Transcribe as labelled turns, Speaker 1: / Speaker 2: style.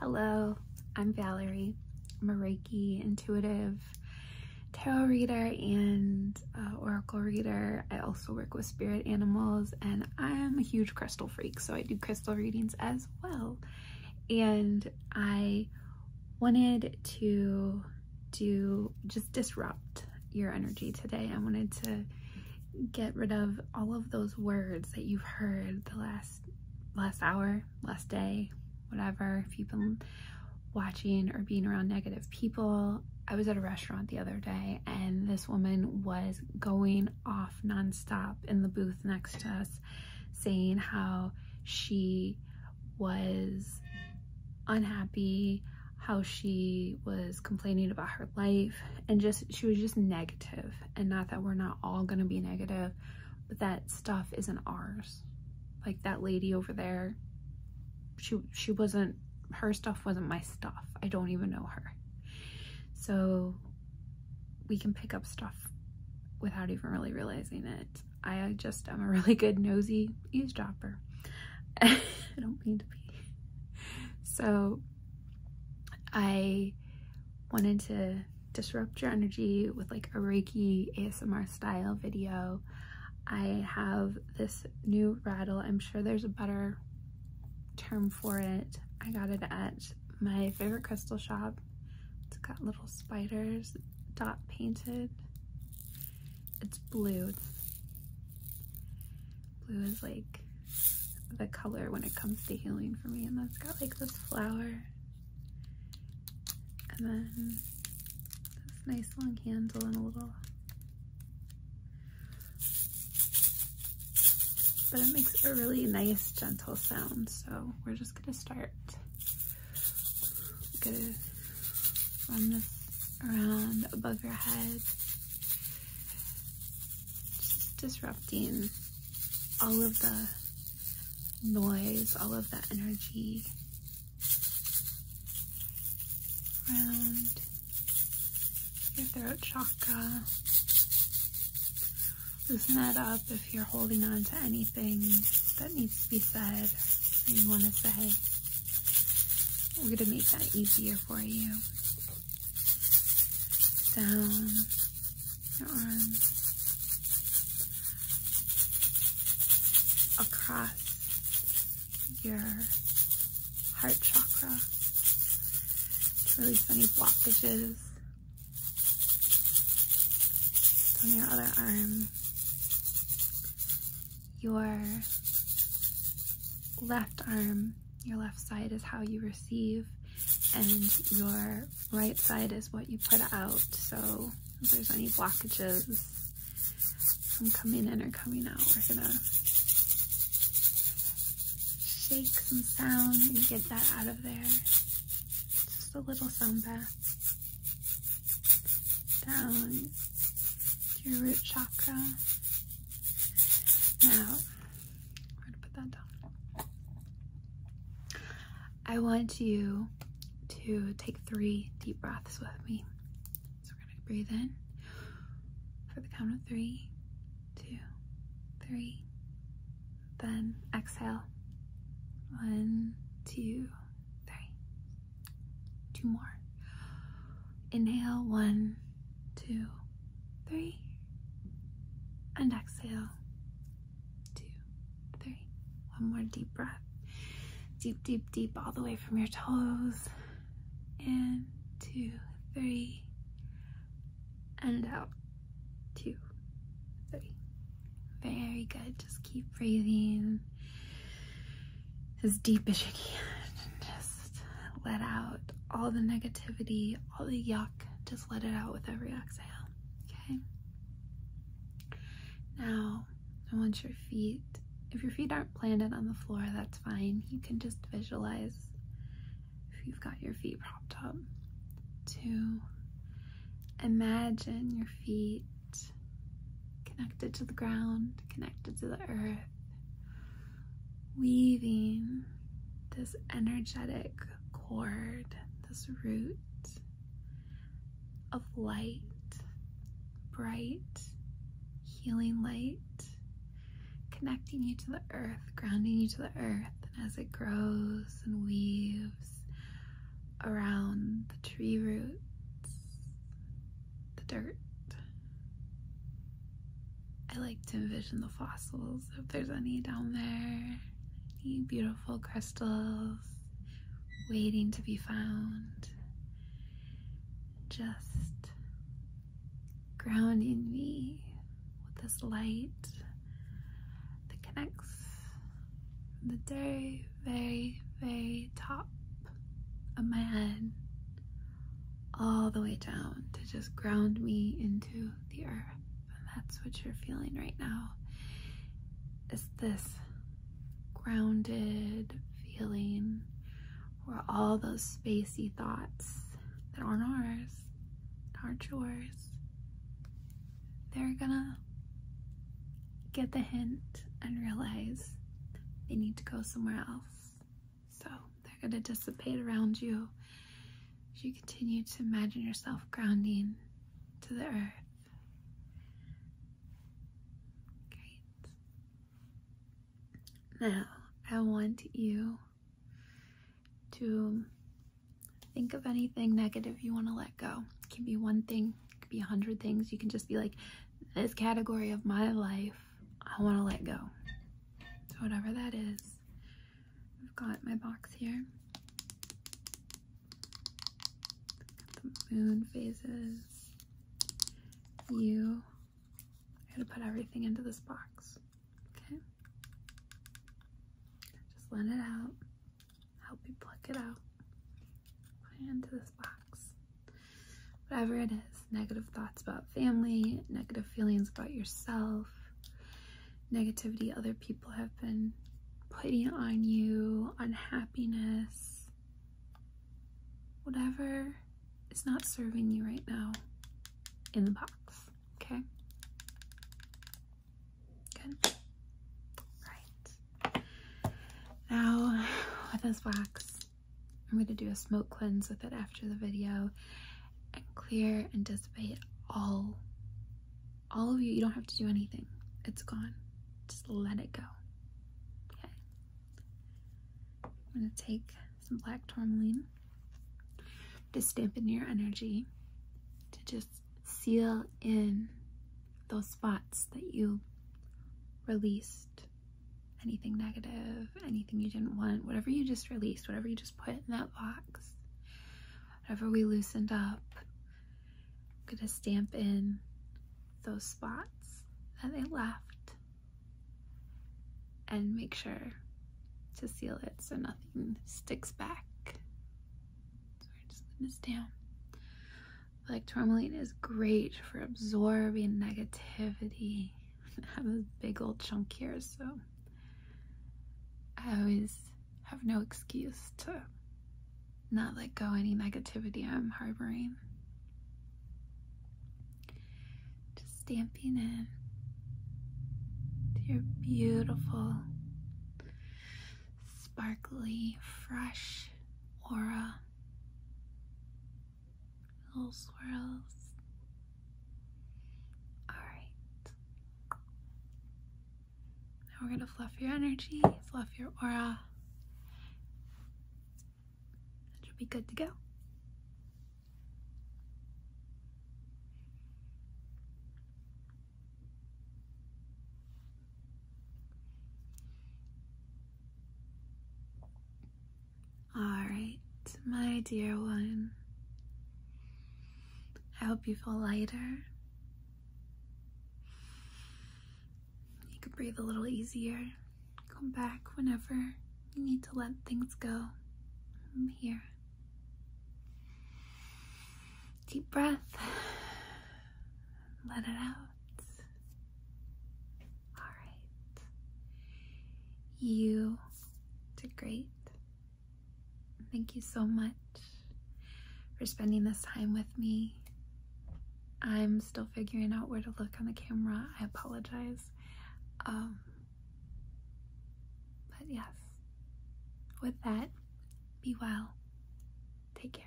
Speaker 1: Hello, I'm Valerie. i Reiki intuitive tarot reader and uh, oracle reader. I also work with spirit animals and I'm a huge crystal freak, so I do crystal readings as well. And I wanted to do just disrupt your energy today. I wanted to get rid of all of those words that you've heard the last last hour, last day, whatever. If you've been watching or being around negative people, I was at a restaurant the other day and this woman was going off nonstop in the booth next to us saying how she was unhappy, how she was complaining about her life, and just she was just negative. And not that we're not all gonna be negative, but that stuff isn't ours. Like that lady over there, she she wasn't her stuff wasn't my stuff. I don't even know her. So we can pick up stuff without even really realizing it. I just am a really good nosy eavesdropper. I don't mean to be. So I wanted to disrupt your energy with like a Reiki ASMR style video. I have this new rattle. I'm sure there's a better term for it. I got it at my favorite crystal shop. It's got little spiders dot painted. It's blue. blue is like the color when it comes to healing for me. And that's got like this flower. And then this nice long handle and a little. But it makes a really nice gentle sound. So we're just gonna start i gonna around above your head. Just disrupting all of the noise, all of the energy around your throat chakra, loosen that up if you're holding on to anything that needs to be said you want to say. We're going to make that easier for you. Down your arms. Across your heart chakra to release any blockages on your other arm, your left arm, your left side is how you receive, and your right side is what you put out. So if there's any blockages from coming in or coming out, we're gonna shake some sound and get that out of there just a little sun bath down to your root chakra. Now, I'm going to put that down. I want you to take three deep breaths with me. So we're going to breathe in for the count of three, two, three, then exhale. One, two, three. Two more. Inhale. One, two, three. And exhale. Two, three. One more deep breath. Deep, deep, deep, all the way from your toes. In, two, three. And out two, three. Very good. Just keep breathing as deep as you can. Just let out all the negativity, all the yuck. Just let it out with every exhale. Okay. Now, I want your feet, if your feet aren't planted on the floor, that's fine. You can just visualize if you've got your feet propped up. Two, Imagine your feet connected to the ground, connected to the earth, weaving this energetic cord, this root of light, bright, healing light, connecting you to the earth, grounding you to the earth. And as it grows and weaves, around the tree roots, the dirt. I like to envision the fossils, if there's any down there, any beautiful crystals waiting to be found. Just grounding me with this light that connects the very, very, very top of my head all the way down to just ground me into the earth. And that's what you're feeling right now is this grounded feeling where all those spacey thoughts that aren't ours, aren't yours, they're gonna get the hint and realize they need to go somewhere else. So they're gonna dissipate around you as you continue to imagine yourself grounding to the earth. Now, I want you to Think of anything negative you want to let go. It can be one thing, it could be a hundred things. You can just be like, this category of my life, I want to let go. So whatever that is. I've got my box here. the moon phases. You. I going to put everything into this box. Okay. Just let it out. Help you pluck it out. Put it into this box. Whatever it is, negative thoughts about family, negative feelings about yourself, negativity other people have been putting on you, unhappiness, whatever is not serving you right now in the box, okay? Good. Right. Now, with this wax, I'm going to do a smoke cleanse with it after the video and clear and dissipate all, all of you. You don't have to do anything. It's gone. Just let it go. Okay. I'm going to take some black tourmaline. To stamp in your energy to just seal in those spots that you released anything negative, anything you didn't want, whatever you just released, whatever you just put in that box, whatever we loosened up, I'm gonna stamp in those spots that they left and make sure to seal it so nothing sticks back. So I just put this down. Like tourmaline is great for absorbing negativity. I have this big old chunk here, so I always have no excuse to not let go any negativity I'm harboring. Just stamping in your beautiful, sparkly, fresh aura. Little swirls. Alright. Now we're going to fluff your energy, fluff your aura. That should be good to go. All right, my dear one. I hope you feel lighter. You can breathe a little easier. Come back whenever you need to let things go. I'm here. Deep breath. Let it out. All right. You did great. Thank you so much for spending this time with me. I'm still figuring out where to look on the camera. I apologize. Um, but yes, with that, be well. Take care.